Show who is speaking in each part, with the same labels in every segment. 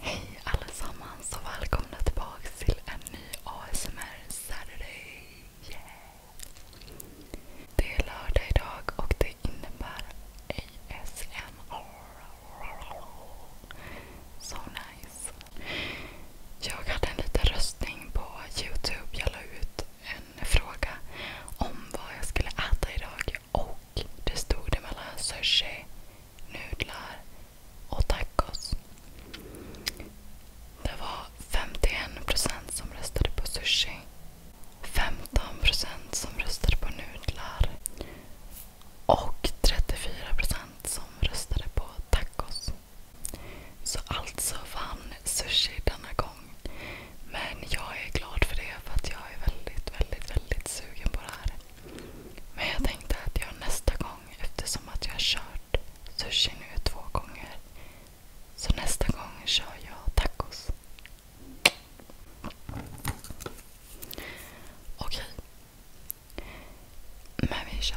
Speaker 1: Hej allesammans och välkomna tillbaka till en ny ASMR Saturday. Det är lördag idag och det innebär ASMR. So nice. Jag hade en liten röstning på Youtube. Jag la ut en fråga om vad jag skulle äta idag. Och det stod det mellan sushi, nudlar och tacos. Det var 51% som röstade på sushi. 15% som röstade på nudlar. Och 34% som röstade på tacos. Så alltså vann sushi denna gång. Men jag är glad för det för att jag är väldigt, väldigt, väldigt sugen på det här. Men jag tänkte att jag nästa gång, eftersom att jag har kört sushi nu två gånger, så nästa gång kör jag tacos. Okej. Men vi kör.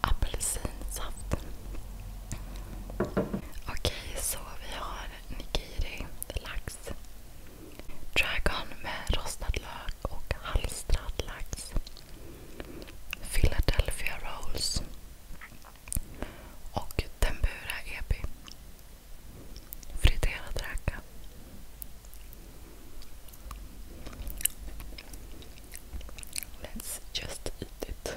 Speaker 1: Apelsinsaft. Okej, okay, så vi har nigiri, lax, dragon med rostad lök och halstrad lax. Philadelphia rolls. och tempura let Let's just eat it.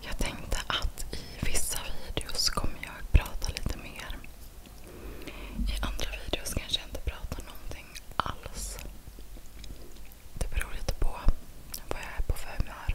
Speaker 1: Jag tänkte att i vissa videos kommer jag prata lite mer. I andra videos kanske jag inte pratar någonting alls. Det beror lite på vad jag är på för humör.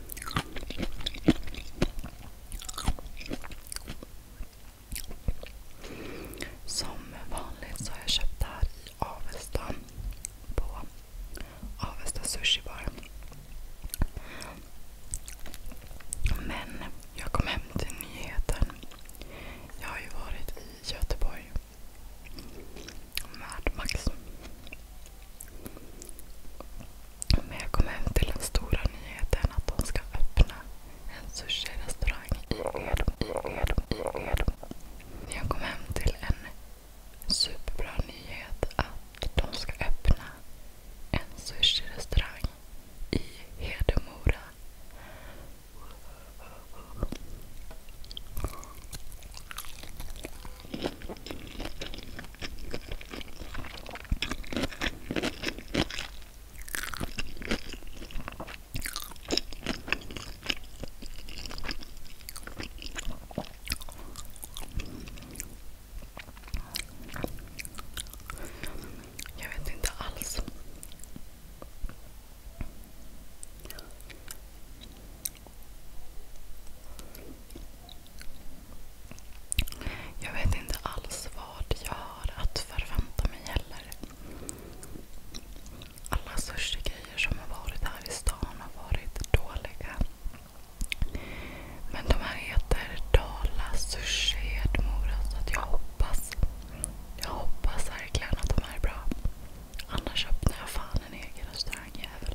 Speaker 1: Som vanligt så har jag köpt det här i Avesta. På Avesta Sushi Bar. Men jag kom hem till nyheten. Jag har ju varit i Göteborg med Max. Men jag kom hem till den stora nyheten att de ska öppna en sushi i Edmo. Jag kom hem till en superbra nyhet att de ska öppna en sushi i Hedemora. Jag vet inte alls. Jag vet inte alls vad jag har att förvänta mig heller. Alla sushi som har varit här i stan har varit dåliga. Men de här heter Dala Sushi Hedmora så jag hoppas verkligen att de här är bra. Annars öppnar jag fan en egen restaurangjävel.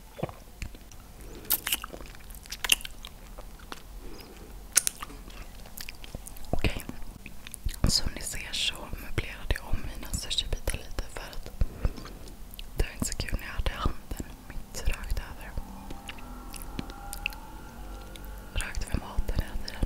Speaker 1: Okej. Okay. Som ni ser så möblerade jag om mina sushibitar lite för att det var inte så kul när jag hade handen mitt rakt över. Rakt över maten hela tiden.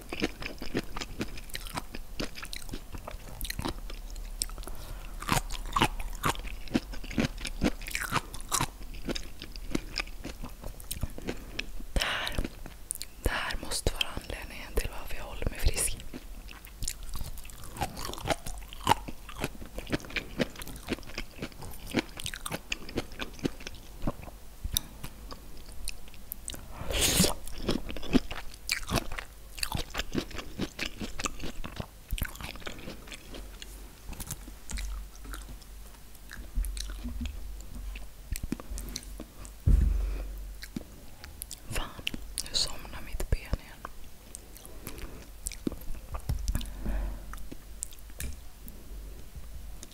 Speaker 1: Det här, det här måste vara anledningen till varför jag håller mig frisk. Fan, nu somnar mitt ben igen.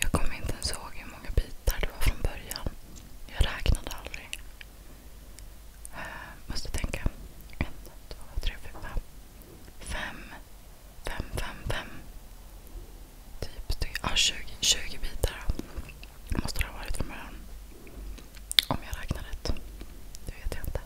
Speaker 1: Jag kommer inte ens ihåg hur många bitar det var från början. Jag räknade aldrig. Eh, måste tänka. En, två, tre, fyra, fem. Fem, fem, fem. fem. Typ, 20, bitar måste det ha varit från början. Om jag räknar rätt. Det vet jag inte.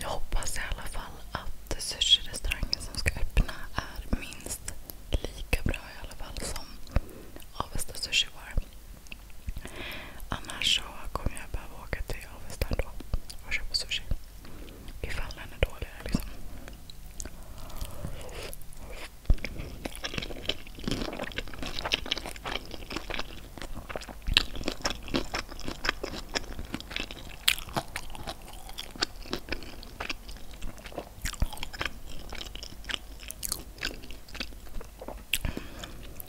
Speaker 1: Jag hoppas i alla fall att sushi som ska öppna är minst lika bra i alla fall som Avesta Sushi var. Annars så kommer jag behöva åka till i Avesta ändå och köper sushi. Ifall den är dålig liksom.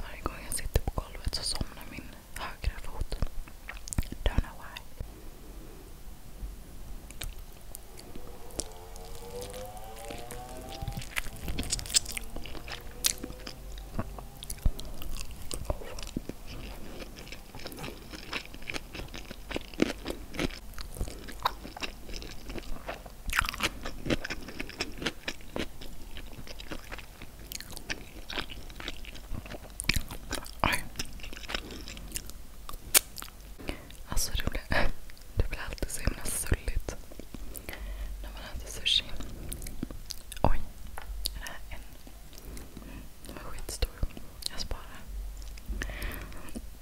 Speaker 1: Varje gång jag sitter på golvet så somnar min högra fot. Don't know why. Aj. Alltså det blir, det blir alltid så himla sulligt när man äter sushi. Oj. Äh, en. Mm, den var skitstor. Jag sparar.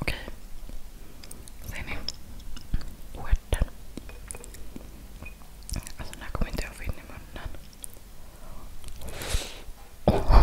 Speaker 1: Okej. Ser ni? Stjärten. Alltså den här kommer inte jag få in i munnen. Oh.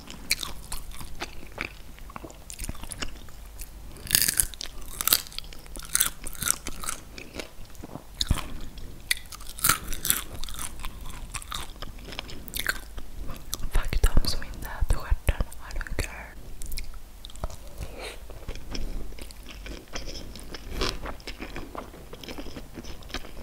Speaker 1: Faktum som inte äter stjärten är en girl.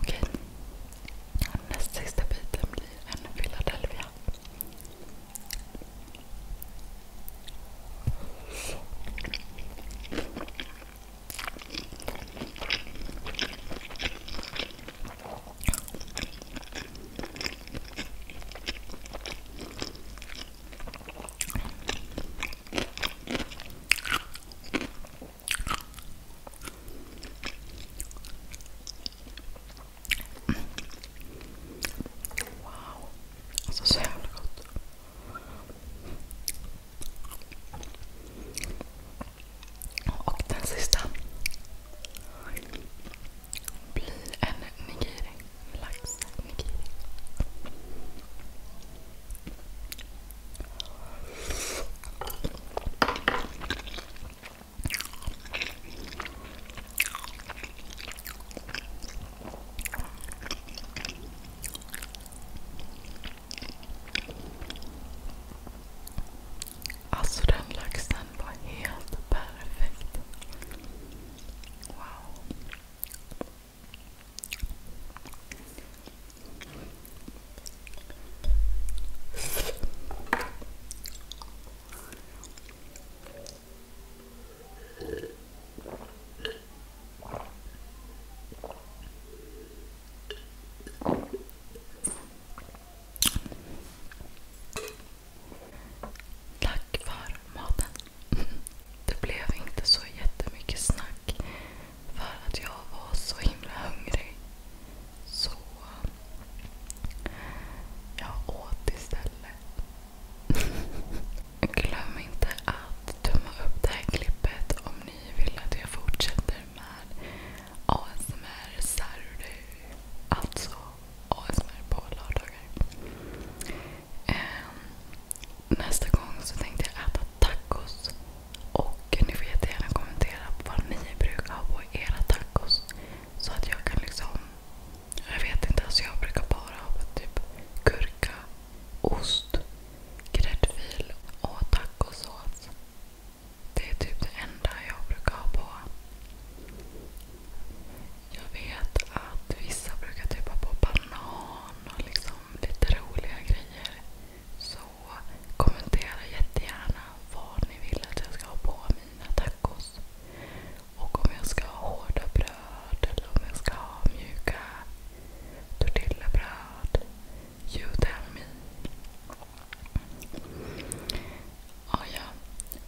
Speaker 1: Okej. Näst sista biten blir en Philadelphia. Wow. Alltså så jävla gott. Och den sista blir en nigiri. Lax nigiri. Alltså den laxen var helt perfekt. Wow. Tack för maten. Det blev inte så jättemycket snack för att jag var så himla hungrig. Så jag åt istället. Glöm inte att tumma upp det här klippet om ni vill att jag fortsätter med ASMR Saturday. Alltså ASMR på lördagar. Um, nästa gång så tänkte jag äta tacos. Och ni får jättegärna kommentera vad ni brukar ha på era tacos. Så att jag kan liksom... Jag vet inte, alltså jag brukar bara ha typ gurka, ost, gräddfil och tacosås. Det är typ det enda jag brukar ha på. Jag vet att vissa brukar typ ha på banan och liksom lite roliga grejer. Så kommentera jättegärna vad ni vill att jag ska ha på mina tacos. Och om jag ska ha hårda bröd eller om jag ska ha mjuka tortillabröd. You tell me. Och ja,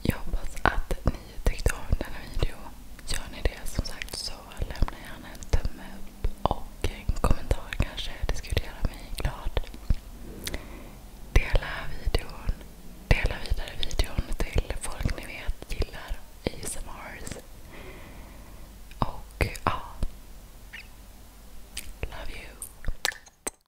Speaker 1: jag hoppas att ni tyckte om den här videon. Gör ni det som sagt så lämna gärna en tumme upp och en kommentar kanske. Det skulle göra mig glad. Dela videon. Dela vidare videon till folk ni vet gillar ASMRs. Och ja, love you.